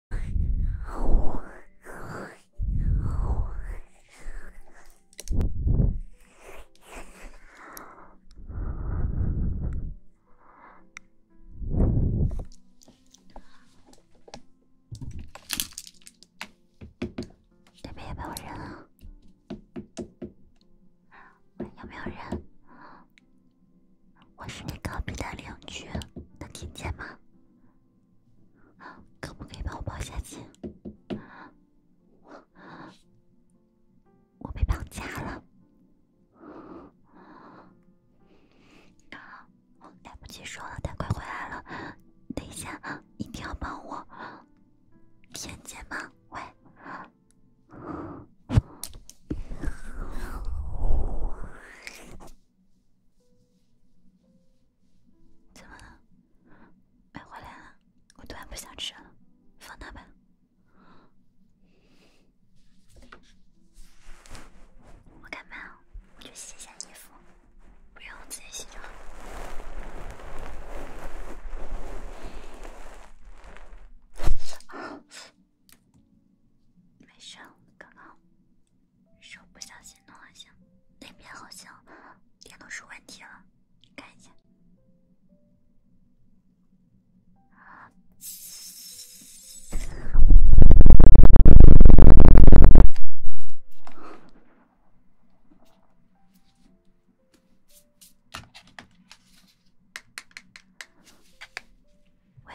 那边有没有人啊？有有人？我是你隔壁的邻居，能听见吗？可不可以帮我报下姐？我被绑架了，来不及说了，他快回来了。等一下，一定要帮我，天姐吗？喂。怎么了？买回来了。我突然不想吃了，放那吧。我干嘛？我去洗一下衣服，不用我自己洗就好。没事，刚刚。手不小心弄了一下，那边好像电脑出问题了，你看一下。喂？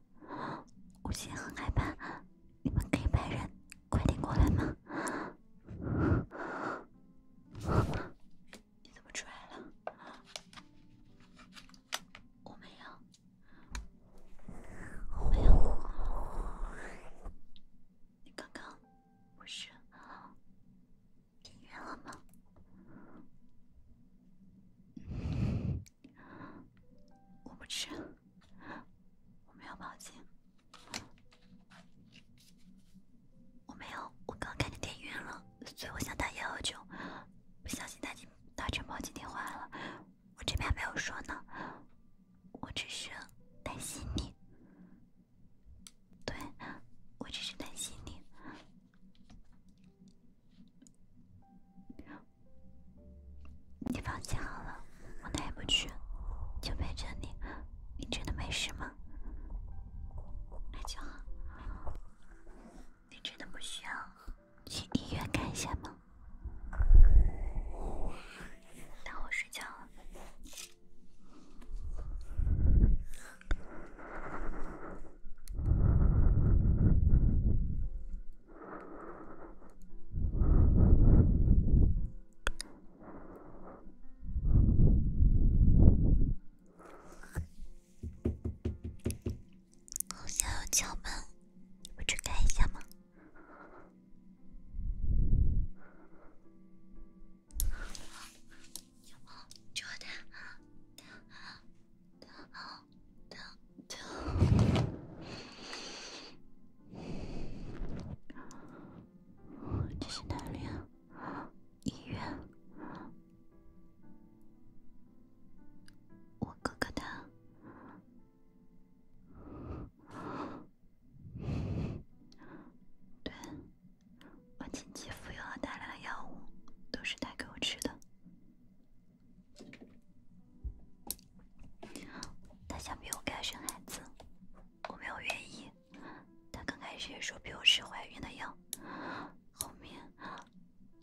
我现在很害怕，你们可以派人快点过来吗？你怎么出来了？我没有，我你刚刚不是进院了吗？我不去。我没有报警，我没有，我刚看见电源了，所以我想打幺幺九，不小心打进打成报警电话了，我这边没有说呢，我只是担心你，对，我只是担心你。你放心好了，我哪也不去，就陪着你。你真的没事吗？那就好。你真的不需要去医院看一下吗？那我睡觉了。好敲门，你去开一下吗？敲门，敲的，的，的。这是哪里啊？医院？我哥哥他……对，我亲戚服用了大量的药物，都是带给我吃的。他想逼我给他生孩子，我没有愿意。他刚开始也说逼我吃怀孕的药，后面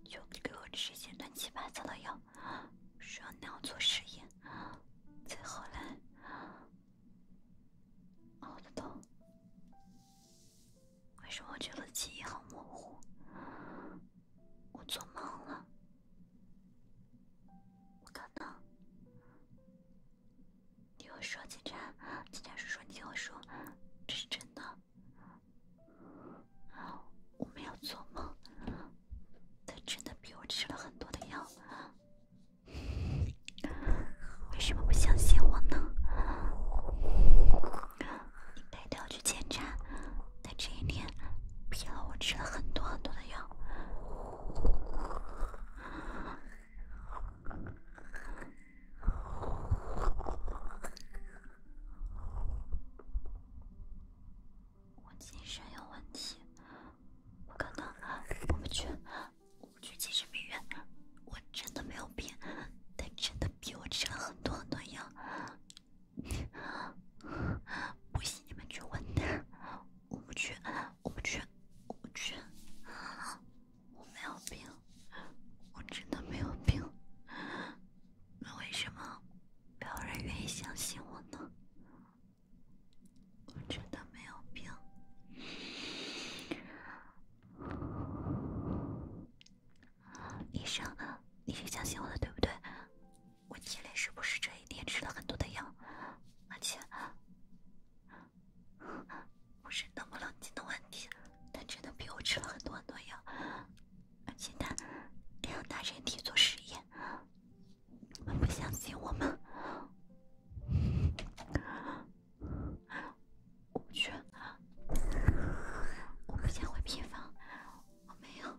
就给我吃一些乱七八糟的药，说那样做实验。再后来，熬的痛。为什么我觉得记忆很模糊？我做梦了，不可能！你又说警察，警察叔叔，你又说这是真的，我没有做梦，他真的逼我吃了很多的药，为什么不相信我呢？应该都要去检查。那这一年，骗了我吃了很多很多的药。我精神有问题，不可能。我们去，我们去精神病院。我真的没有病，他真的逼我吃了很多很多药。不信你们去问他，我不去，我不去，我不去，我没有病，我真的没有病。那为什么没有人愿意相信我呢？我真的没有病。医生，你是相信我的对不对？我体内是不是这一天吃了很多的药？而且不是能不能进的问题，他真的逼我吃了很多很多药，而且他还要拿人体做实验，你们不相信我吗？我不去，我不想回病房，我没有。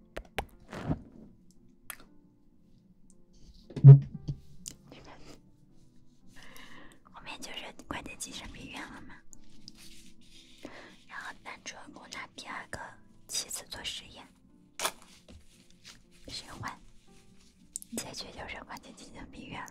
后面就是关进精神病院了嘛，然后男主拿第二个妻子做实验，循环，结局就是关进精神病院了。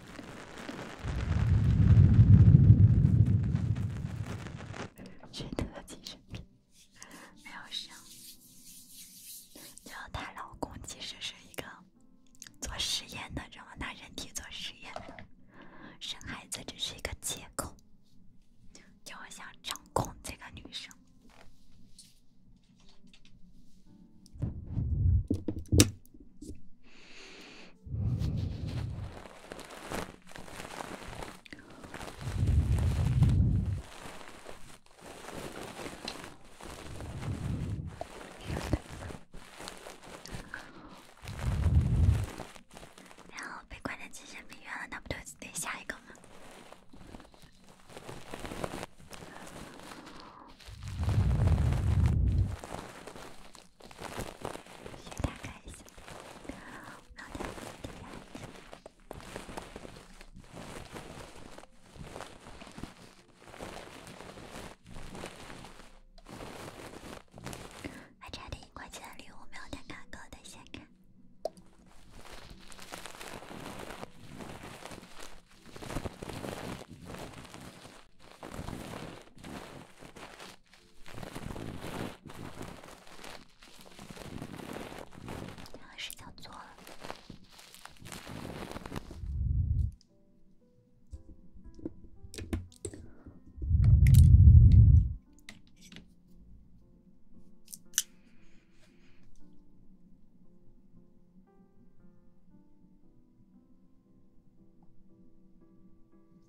真正的精神病，没有想，然后她老公其实是一个做实验的，然后拿人体做实验，生孩子只是一个借口，就想掌控这个女生。然后被关在精神病院了，那不就得下一个吗？需打开一下喵蛋卡，进来。还差点一块钱的礼物，喵蛋卡够的，先卡。还是叫错了。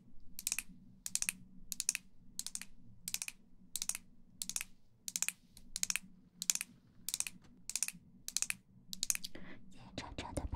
谢谢晨晨的陪伴。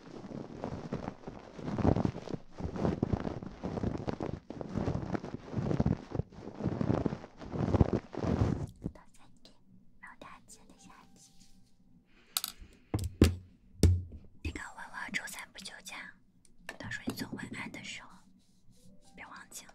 老三篇，老大节的下集。这个文案周三不休假，到时候你做文案的时候别忘记了。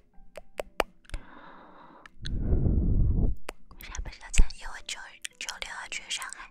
我还不知道参加我九九六要去上海。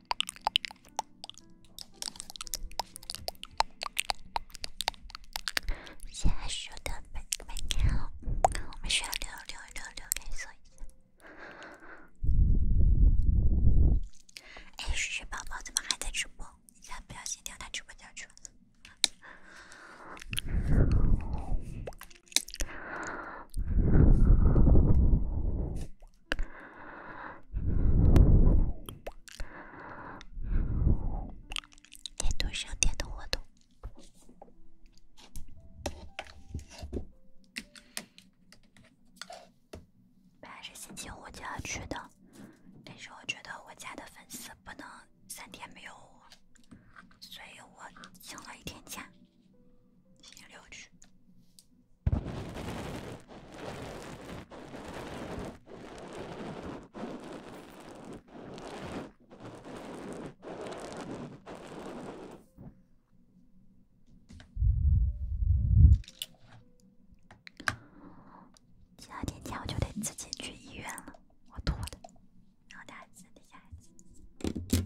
现在说的没没看哦，我们需要留留留留给谁？哎，雪雪宝宝怎么还在直播？你咋不小心掉他直播间去了？点多少？点的活动本来是星期五就要去的，但是我觉得我家的粉丝不能三天没有我，所以我请了一天假。第二天天我就得自己去医院了，我吐的。然后下一次，下一次。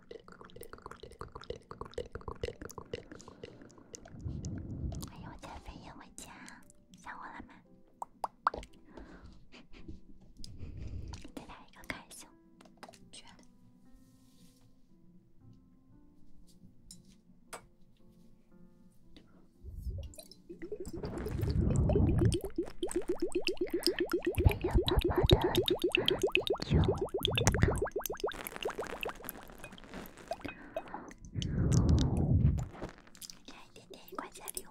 哎呦，减肥也没减，想我了吗？再来一个开有，看一点点，一块钱礼物。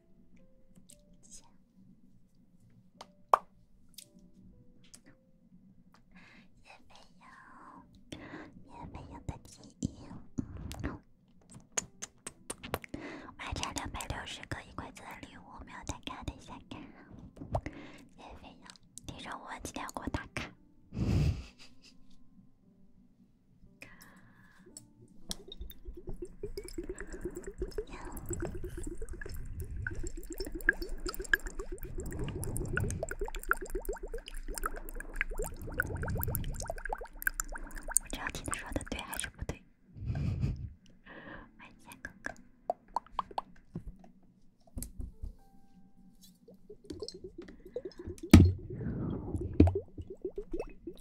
叶飞扬，叶飞扬的记忆。我还差两百六个一块钱的礼物，没有打卡，等一下看。叶飞扬，你中午记得给我打卡。我只要听他说的对还是不对，万茜哥哥。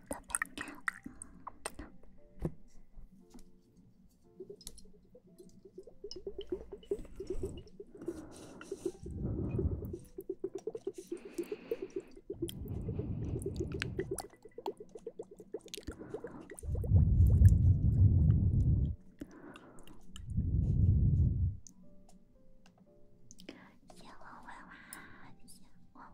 先玩玩啊！先玩。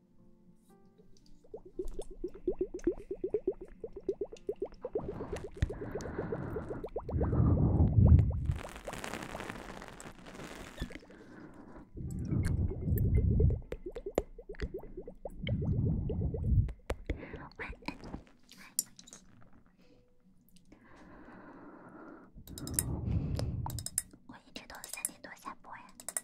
晚安。我一直都三点多下播呀。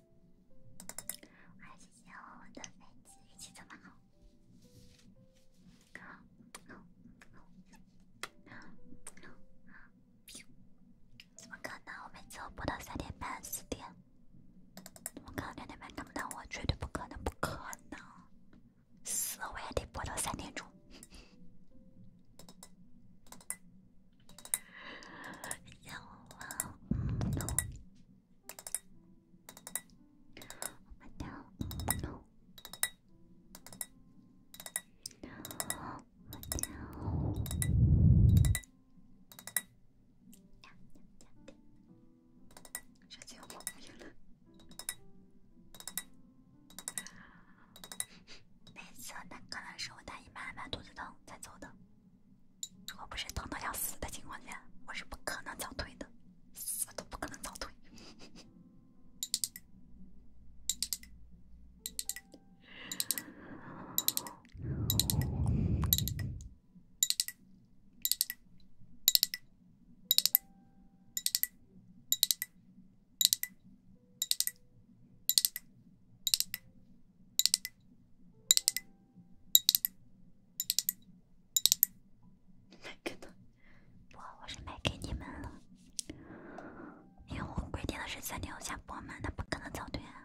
我谢谢我的粉丝运气这么好。怎么可能？我每次我播到三点半四点，我刚两点半看不到我，绝对不可能，不可能！死，我也得播到三点钟。下午好，你好，你好，你好，你好，时间快没了，那次那可能是我大姨妈嘛，肚子疼才走的。如果不是疼的要死的情况下，我是不可能早退的，我都不可能早退。没给到，不，我是没给你们了，因为我规定的是三点下播嘛，那不可能早退啊。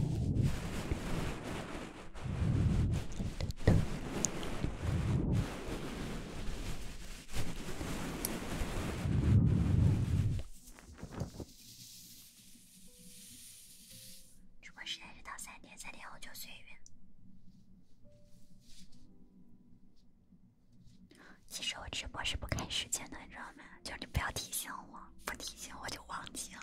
直播时间是到三点，三点后就随缘。其实我直播是不开时间的，你知道吗？就是你不要提醒我，不提醒我就忘记了。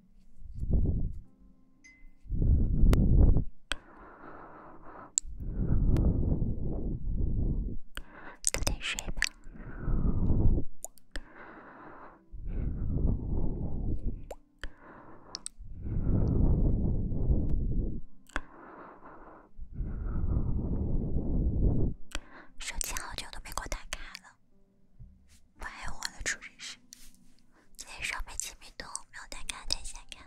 早点睡吧。手机好久都没给我打开了。不还火了？出生时，今天上班起没动，没有带卡带钱卡。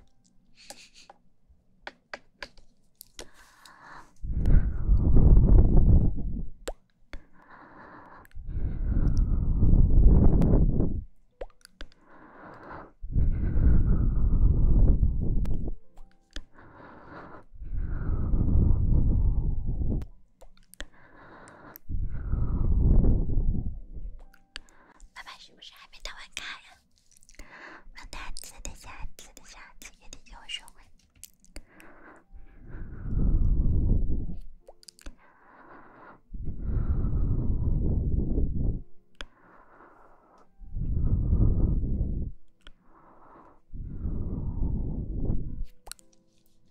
爸爸是不是还没打完卡呀？慢点，等一下，等一下，等一下，别听见我说话。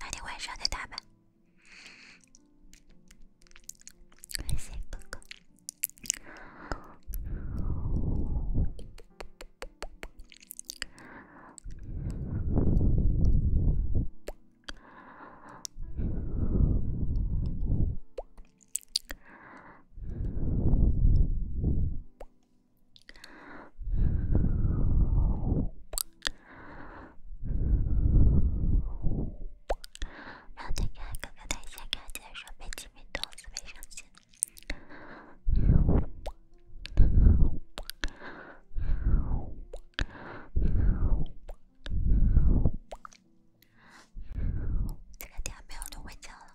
那你晚上再打吧，谢谢哥哥。让他看，哥哥他先看见说：“别激动，别伤心。”这个点没有刘伟强了。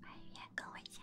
把语言更危险。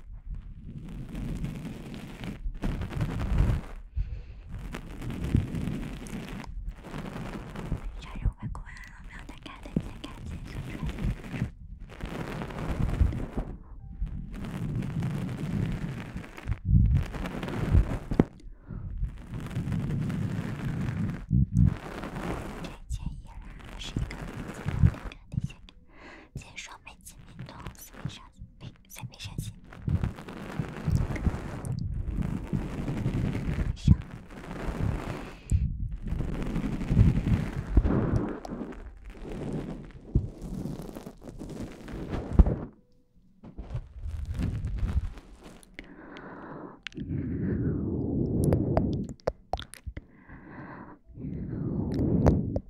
加入微课安，我没有打开的，你先开启，搜出来一个。这件依然还是一个，那个那些。千双美，千面动，四面伤心，悲，三面伤心，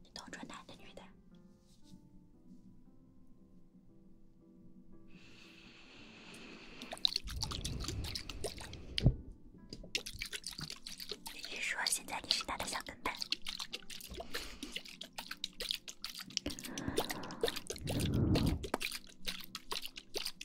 你都是男的女的？你是说现在你是他的小跟班？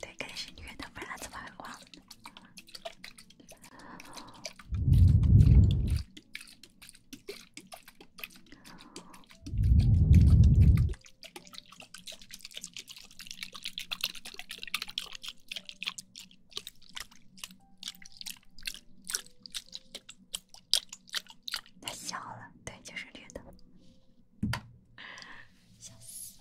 对，肯定是女的，不然怎么他笑了，对，就是绿的，笑死，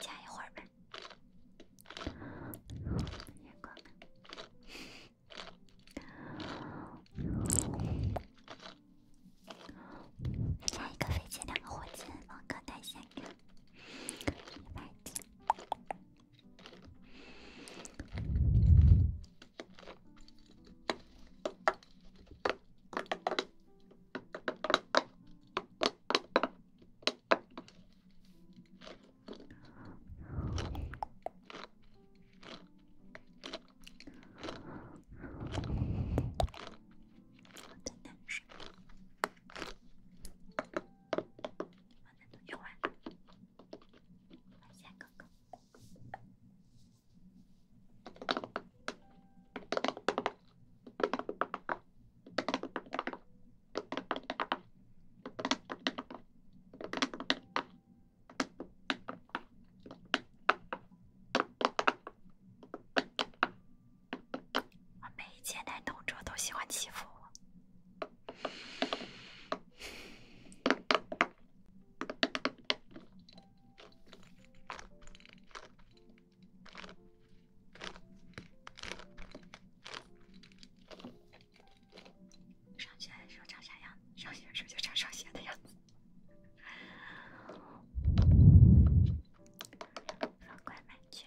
加一会儿呗，夜光灯。下一个飞机，两个火箭，王哥在线看。我的男水，刚用完了，下一个。我每一件男同桌都喜欢欺负我。上学的时候长啥样？上学的时候就长上学的样子。放快慢卷。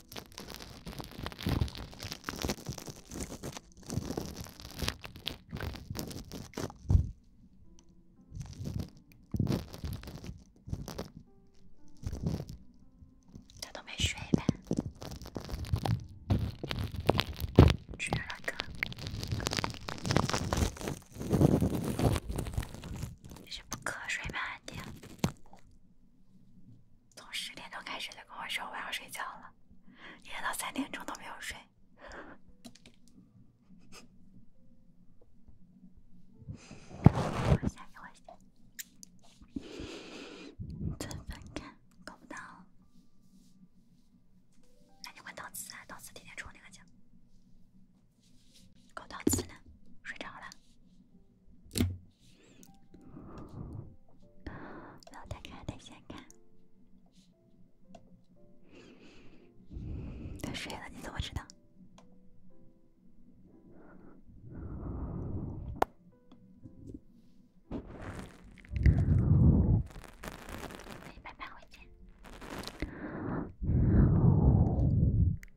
他都没睡呗？睡了哥，你是不瞌睡吧，安迪？从十点钟开始就跟我说我要睡觉了，一直到三点钟都没有睡。我 先，我先。真分开，搞不到。那你啊？天天那个睡着了。不要打开，等下看。他睡了，你怎么知道？再见。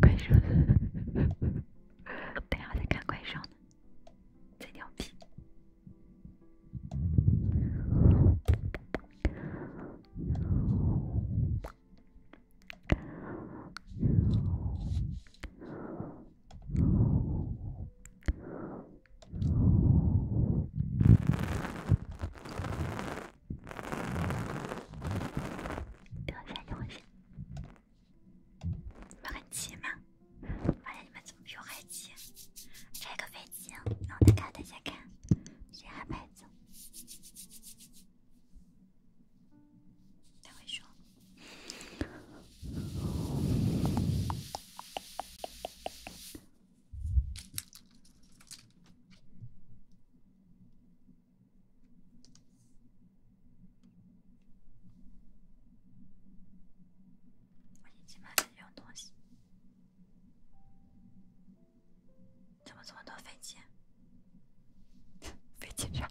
怪兽的，等下再看怪兽的，最牛逼。等一下，你们先，麦很急吗？我发现你们怎么没有麦急？拆个飞机，然后再看大家看谁还牌走。他会说。我一进门就有东西，怎么这么多飞机？飞 机啥？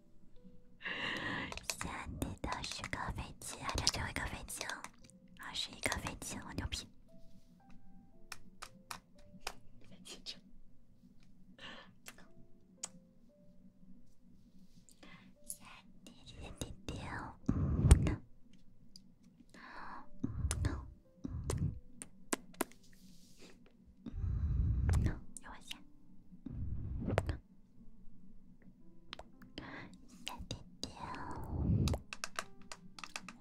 先你的十个飞机，再最后一个飞机，二十一个飞机，我牛批！小弟弟，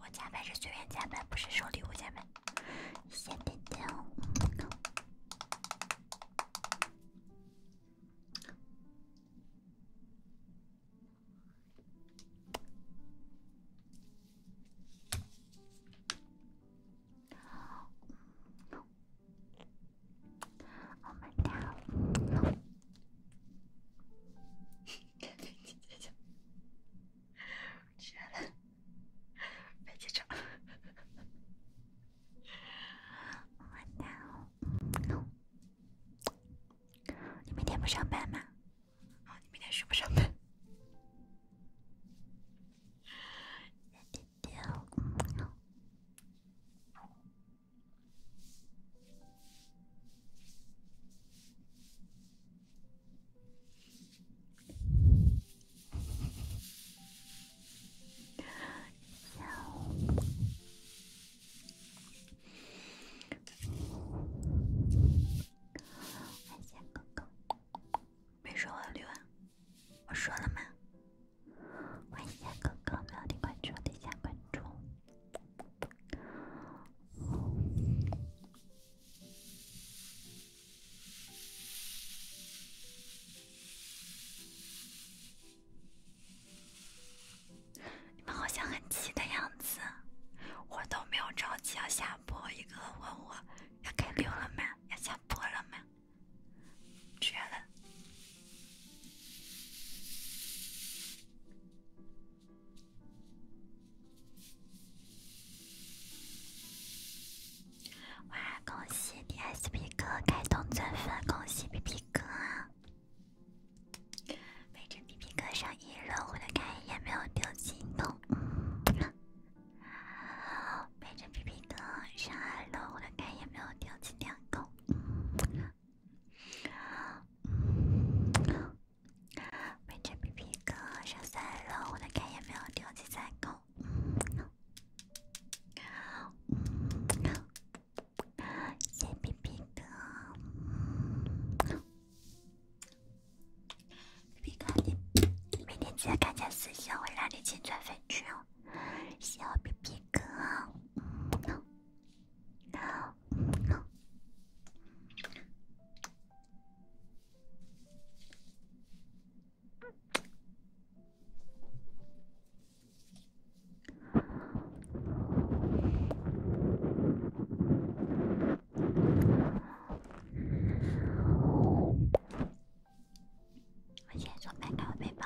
我家白是随便加粉，不是收礼物加粉。小弟弟。我们俩，别紧张，别紧张，我们俩，你明天不上班吗？啊，你明天是不上班？你俩，不。谢哥哥。没说话，我说了吗？欢迎下哥哥，没有点关注，点一下关注。你们好像很急的样子，我都没有着急要下播。一个个问我要开溜了没，要下播了没。绝了！哇，恭喜你！B B 哥开通钻粉，恭喜 B B 哥！陪着 B B 哥上一楼，我的开眼没有丢金豆；陪着 B B 哥上二楼，我的开也没有丢金两嗯，每天皮皮哥上三楼，我的卡也没有六级三狗。嗯，谢皮皮哥，皮皮哥你每天只要看见四星，我让你进转粉群哦。小皮皮哥，我先从打开我背包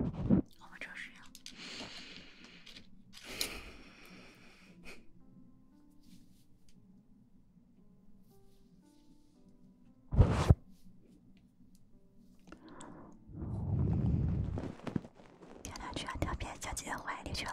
我就是要。去了。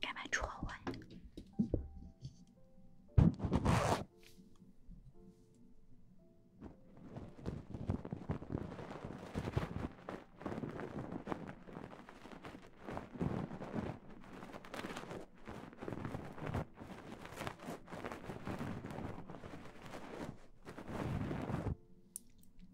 干嘛戳我呀？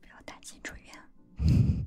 不要担心，住院。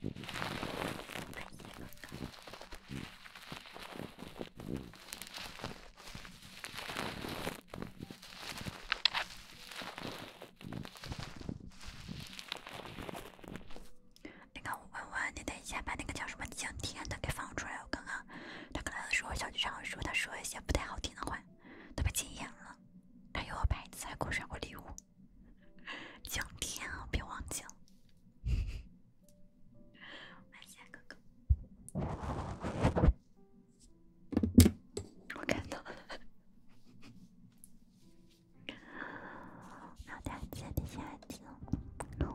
那个文文，你等一下把那个叫什么蒋天的给放出来。我刚刚他刚才说，小剧场说他说一些不太好听的话，他被禁言了。还有我拍子还给我甩过礼物，蒋天啊，别忘记了。晚霞哥哥，我看到了。然后第二次，第三次，咚。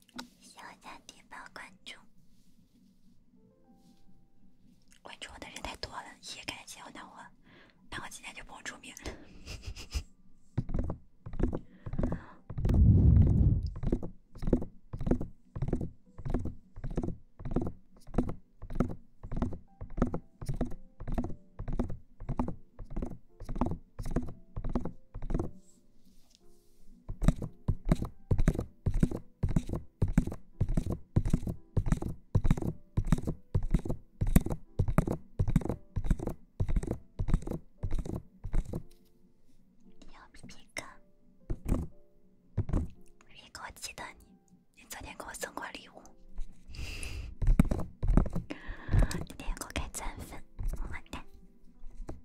小南弟，帮关注，关注我的人太多了，也感谢小南我，那我今天就不用出面了。你好，米哥，米哥，记得你，你昨天给我送过礼物，今 天给我盖钻粉，么么哒。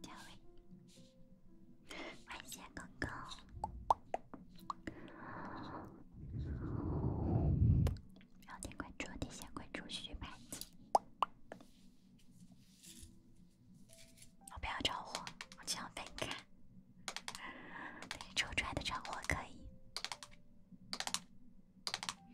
各位，感谢哥哥，要点关注，点下关注，续满。我不要着火，我这样分开，等你抽出来的着火可以。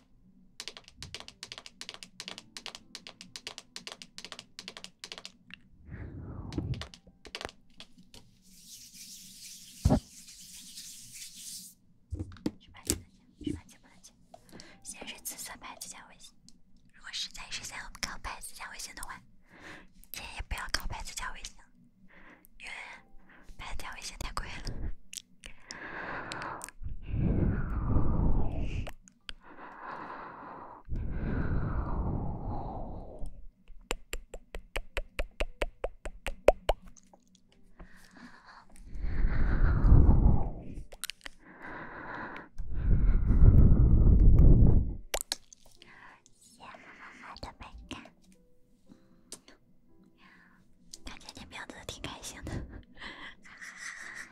是牌子加，是牌子不能加。先是紫色牌子加微信。如果实在是想我们靠牌子加微信的话，建议不要告牌子加微信，因为牌子加微信太贵了。香香的饼干，感觉你名字挺开心的。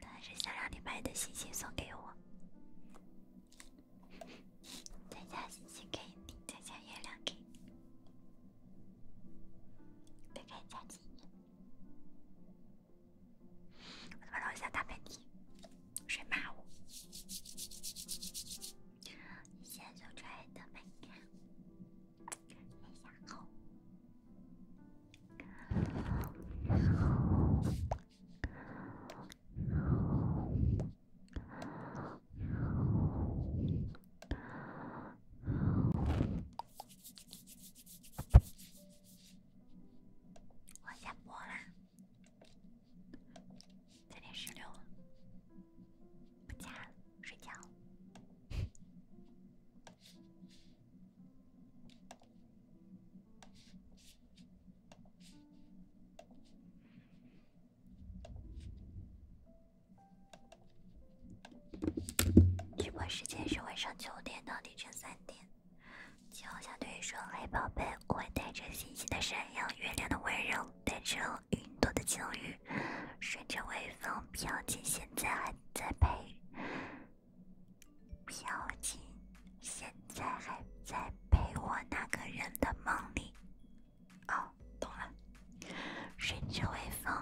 他是想让你把你的星星送给我，再加星星给你，再加月亮给你，别开加星。我怎么老想打喷嚏？谁骂我？你现在就穿的美，美，想好。我下播啦，三点十六了，不加，睡觉。直播时间是晚上九点到凌晨三点。请小队说：“黑宝贝，我会带着星星的闪耀，月亮的温柔，带着云朵的轻语，顺着微风飘进现在，还在陪飘进现在还在陪我那个人的梦里，哦，懂了。顺之微风，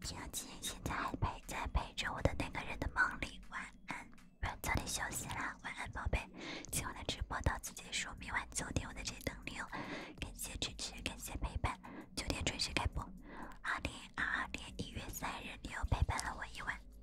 飘进现在还陪在陪着我的那个人的梦里。晚安，晚早点休息啦，晚安宝贝。今晚的直播到此结束，明晚九点我在这里等你哦。感谢支持，感谢陪伴。九点准时开播。二零二二年一月三日，你又陪伴了我一晚。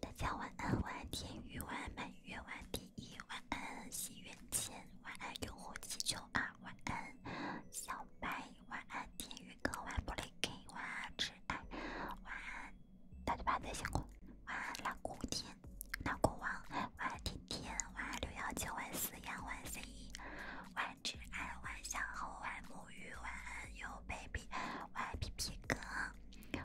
大家晚安，晚安天宇，晚安满月，晚第一，晚安心愿签，晚安用户七九二，晚安小白，晚安天宇哥，晚安布雷 k，晚安挚爱，晚安大嘴巴的辛苦，晚安蓝空天，蓝空王，晚安甜甜，晚安六幺九，晚安四幺，晚 c，晚挚爱，晚安小猴，晚沐浴，晚安有 baby，晚安皮皮哥。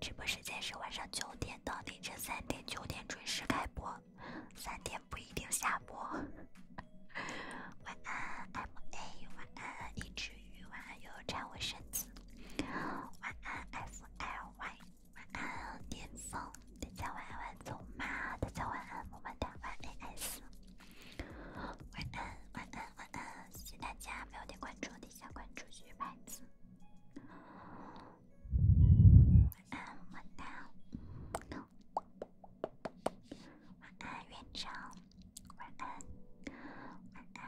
直播时间是晚上九点到凌晨三点，九点准时开播，三点不一定下播。晚安，M A，晚安，一只鱼，晚安，悠站稳身子。晚安，F L Y，晚安，巅峰，大家晚安晚走嘛，大家晚安，我们哒，晚安 S。晚安，晚安，晚安，谢谢大家没有点关注，点下关注谢牌子。晚安，么么哒。晚安，院长。晚安，晚安。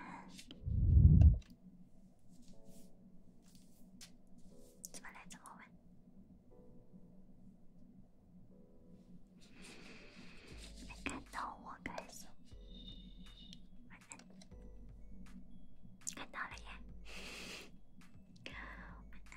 怎么来这么晚？没看到我开心。看到了耶！晚安，拜拜。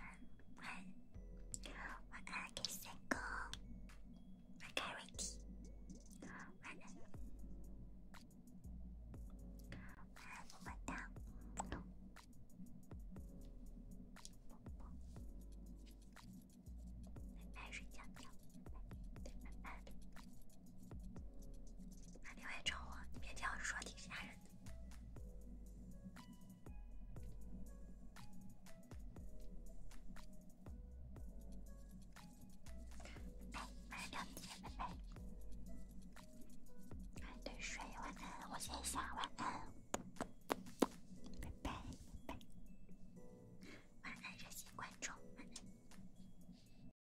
打电话找我，别这样说，挺吓人的。哎，晚上两点，拜拜。喝一晚安，我先下，晚安，拜拜，晚安，这些观众，晚安。